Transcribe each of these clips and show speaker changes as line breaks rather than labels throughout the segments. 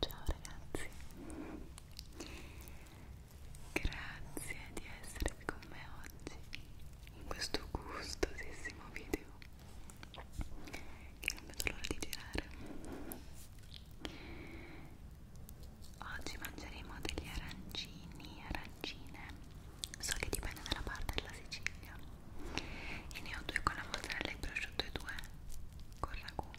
Ciao ragazzi, grazie di essere qui con me oggi in questo gustosissimo video che non vedo l'ora di girare oggi mangeremo degli arancini arancine so che dipende dalla parte della Sicilia e ne ho due con la mozzarella e prosciutto e due con ragù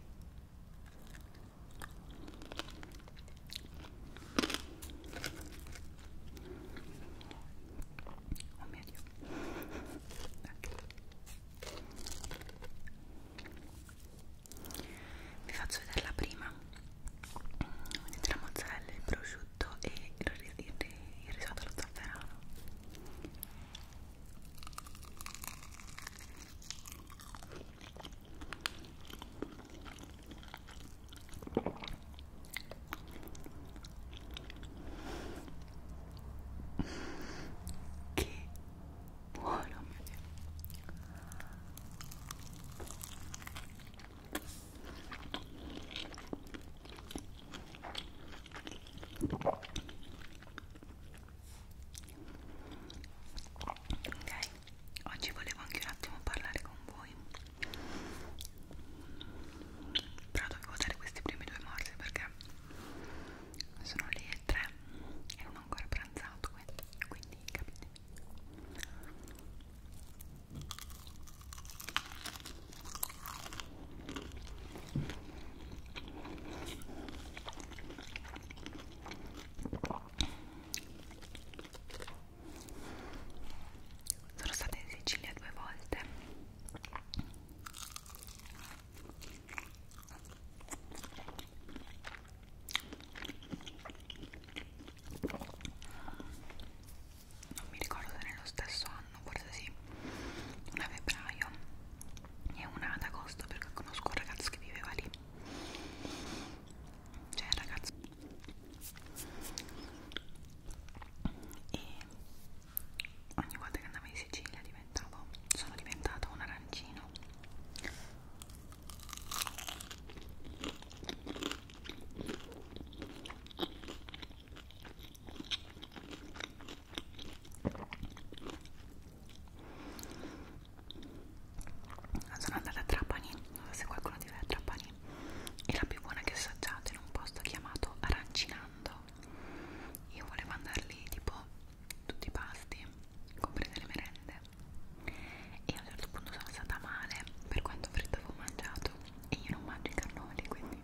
Oh mio Dio, okay. vi faccio vedere la prima vedete la mozzarella, il prosciutto e il, il, il, il risotto allo zafferano che buono mio Dio ok oggi volevo anche un attimo parlare con voi però dovevo dare questi primi due morsi perché sono le 3 e non ho ancora pranzato quindi capite sono stata in Sicilia due volte non mi ricordo se nello stesso anno forse sì una a febbraio e una ad agosto perché conosco un ragazzo che viveva lì cioè ragazzo e ogni volta che andavo in Sicilia diventavo sono diventata un arancino sono andata a Trapani, non so se qualcuno di voi è a Trapani, è la più buona che assaggiate in un posto chiamato Arancinando io volevo andare lì tipo tutti i pasti comprese le merende e a un certo punto sono stata male per quanto fritto avevo mangiato e io non mangio i cannoli quindi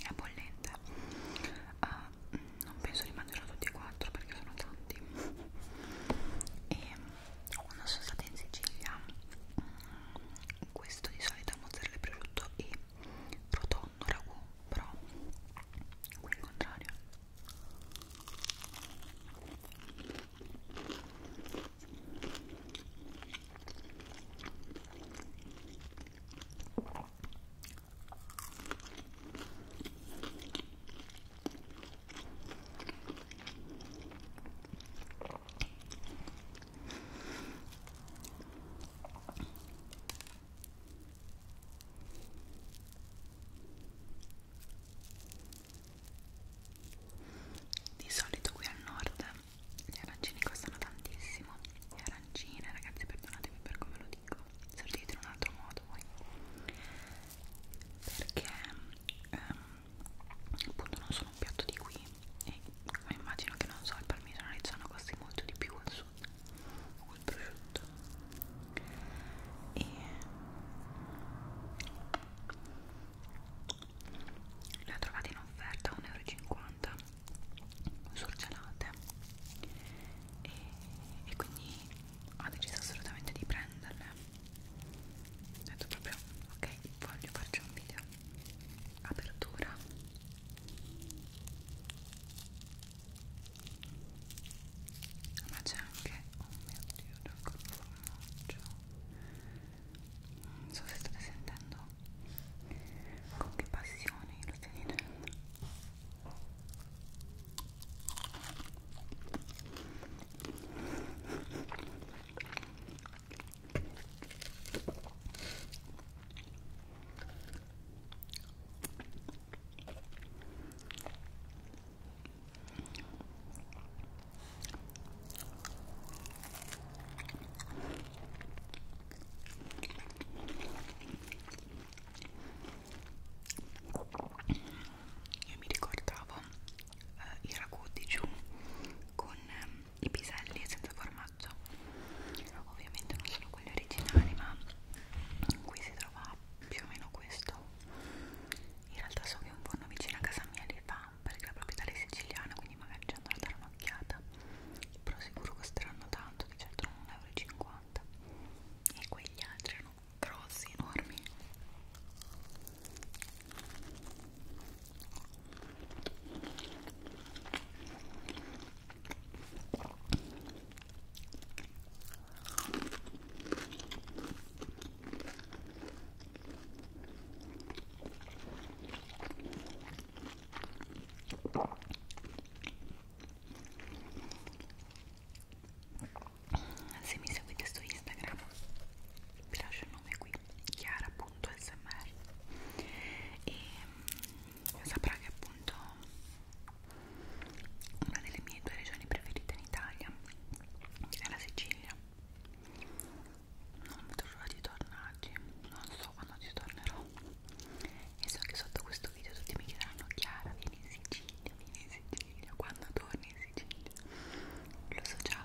è bollente uh, non penso di mangiarlo tutti e quattro perché sono tanti e quando sono stata in Sicilia mm, questo di solito è mozzarella e prosciutto e rotondo ragù però qui il contrario di solito qui al nord gli arancini costano tantissimo. Le arancine, ragazzi, perdonatemi per come lo dico, se lo dite in un altro modo voi. Perché ehm, appunto non sono un piatto di qui, e immagino che non so il parmigiano reggiano costi molto di più al sud o il prosciutto e le ho trovate in offerta a 1,50 euro surgelate e, e quindi ho deciso assolutamente di prenderle ho detto proprio ok voglio farci un video apertura ma c'è anche oh mio dio del formaggio non so se state sentendo con che passione lo stai dicendo io mi ricordavo eh, i ragù di giù con ehm, i piselli senza formaggio ovviamente non sono quelli originali ma qui si trova più o meno questo in realtà so che un forno vicino a casa mia li fa perché la proprietaria è siciliana quindi magari ci andrò a dare un'occhiata però sicuro costeranno tanto di certo non 1,50 euro e quegli altri erano grossi, enormi se mi seguite su Instagram vi lascio il nome qui chiara.smr e mm, saprà che appunto una delle mie due regioni preferite in Italia è la Sicilia non vedo l'ora di tornarci non so quando ci tornerò e so che sotto questo video tutti mi chiederanno Chiara vieni in Sicilia, vieni in Sicilia quando torni in Sicilia lo so già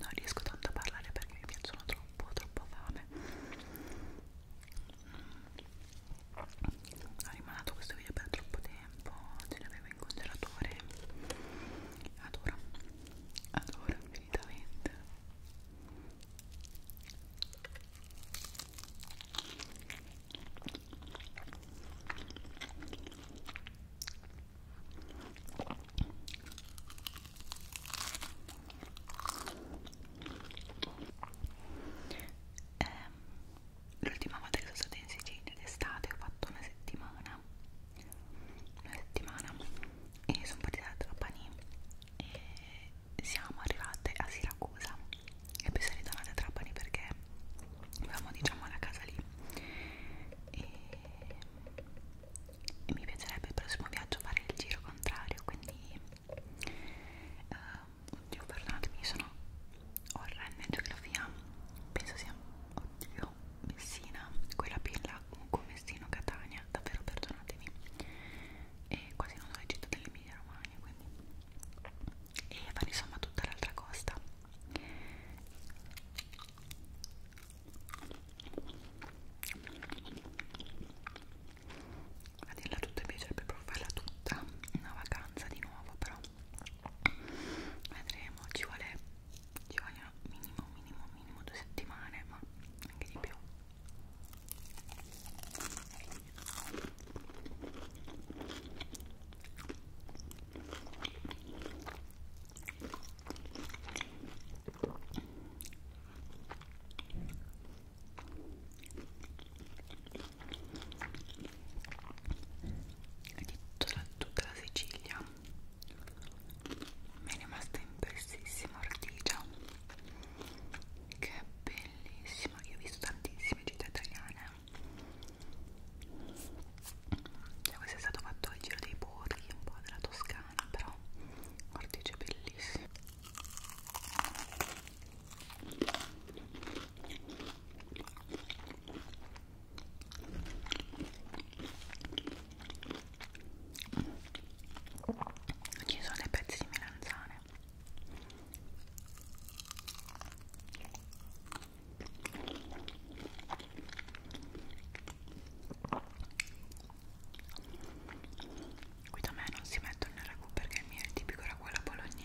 non riesco tanto a parlare perché mi piacciono troppo, troppo fame ho rimanato questo video per troppo tempo ce l'avevo in congelatore adoro adoro infinitamente eh, l'ultima volta che sono stata in Sicilia d'estate ho fatto una settimana una settimana e sono partita da Trapani e siamo arrivate a Siracusa e poi sono ritornata a Trapani perché avevamo diciamo la casa lì e e mi piacerebbe il prossimo viaggio fare il giro contrario quindi uh, oddio perdonatemi sono orrenda in geografia penso sia oddio Messina quella più in là comunque Messino Catania davvero perdonatemi e quasi non ho le città dell'Emilia Romagna quindi e fare insomma tutta l'altra costa a dirla tutta mi piacerebbe proprio farla tutta una vacanza di nuovo però vedremo ci vuole ci vogliono minimo minimo minimo due settimane ma anche di più di tutta, tutta la Sicilia mi è rimasta impressissima Ortigia che è bellissima io ho visto tantissime città italiane cioè, questo è stato fatto il giro dei borghi un po' della Toscana però cortice bellissimo ci sono dei pezzi di melanzane Qui da me non si mettono nel ragù perché il mio è tipico ragù bolognese.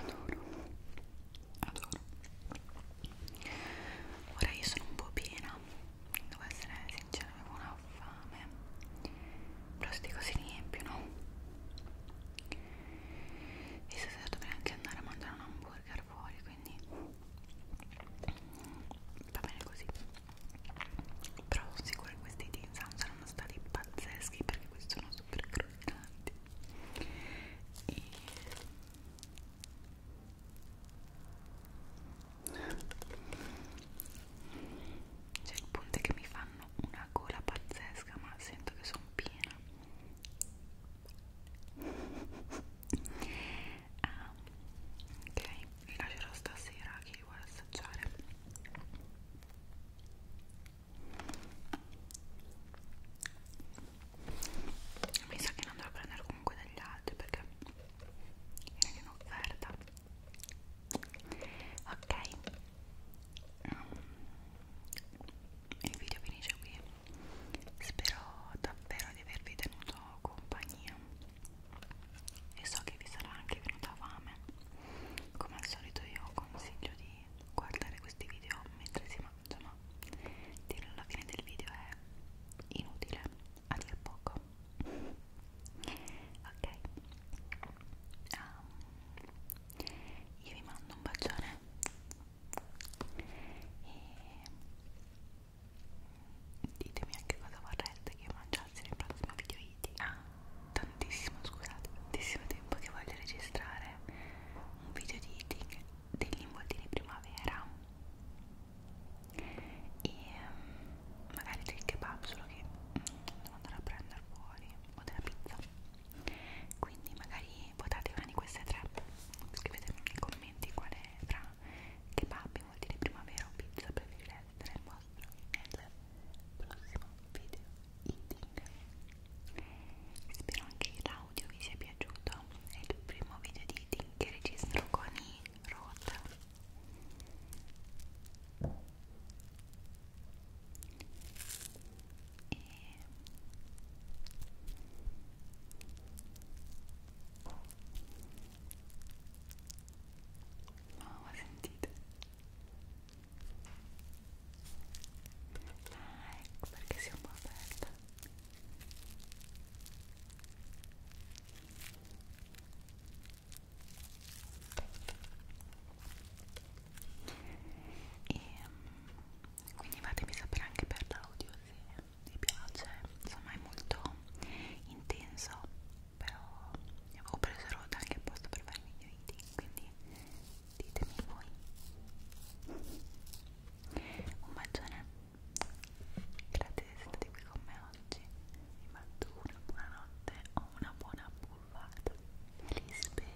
Adoro, adoro. Ora io sono un po' piena, devo essere sincera, avevo una ho fame però sti cose riempiono e stasera dovrei anche andare a mangiare un hamburger fuori quindi va bene così però sono sicura che questi tinsam saranno stati pazzeschi perché questi sono super croccanti e c'è il punto che mi fanno una gola pazzesca, ma sento che sono piena. Ah, ok, li lascerò stasera chi li vuole assaggiare. Mi sa che ne andrò a prendere comunque dagli altri perché è in offerta ok um, il video finisce qui spero davvero di avervi tenuto compagnia e so che vi sarà anche venuta fame come al solito io consiglio di guardare questi video mentre si mangia ma dirlo alla fine del video è inutile a dir poco ok um, io vi mando un bacione e ditemi anche cosa vorreste che mangiassi nel prossimo video iti ah, tantissimo scusate tantissimo tempo che voglio registrare un video di eating degli involtini primavera e ehm, magari del kebab solo che devo andare a prendere fuori o della pizza quindi magari votate una di queste tre scrivetemi nei commenti quale tra kebab vuol dire primavera o pizza preferirete il vostro nel prossimo video eating spero anche che l'audio vi sia piaciuto è il primo video di eating che registro con i Road e mamma oh, sentite ah ecco perché si è un po' aperta e mm, quindi fatemi sapere anche per l'audio se vi piace insomma è molto intenso però ho preso roda anche apposta per fare i miei video quindi ditemi voi un bacione Grazie di essere stati qui con me oggi. Vi mando una buona notte o una buona buffata. Felice spera.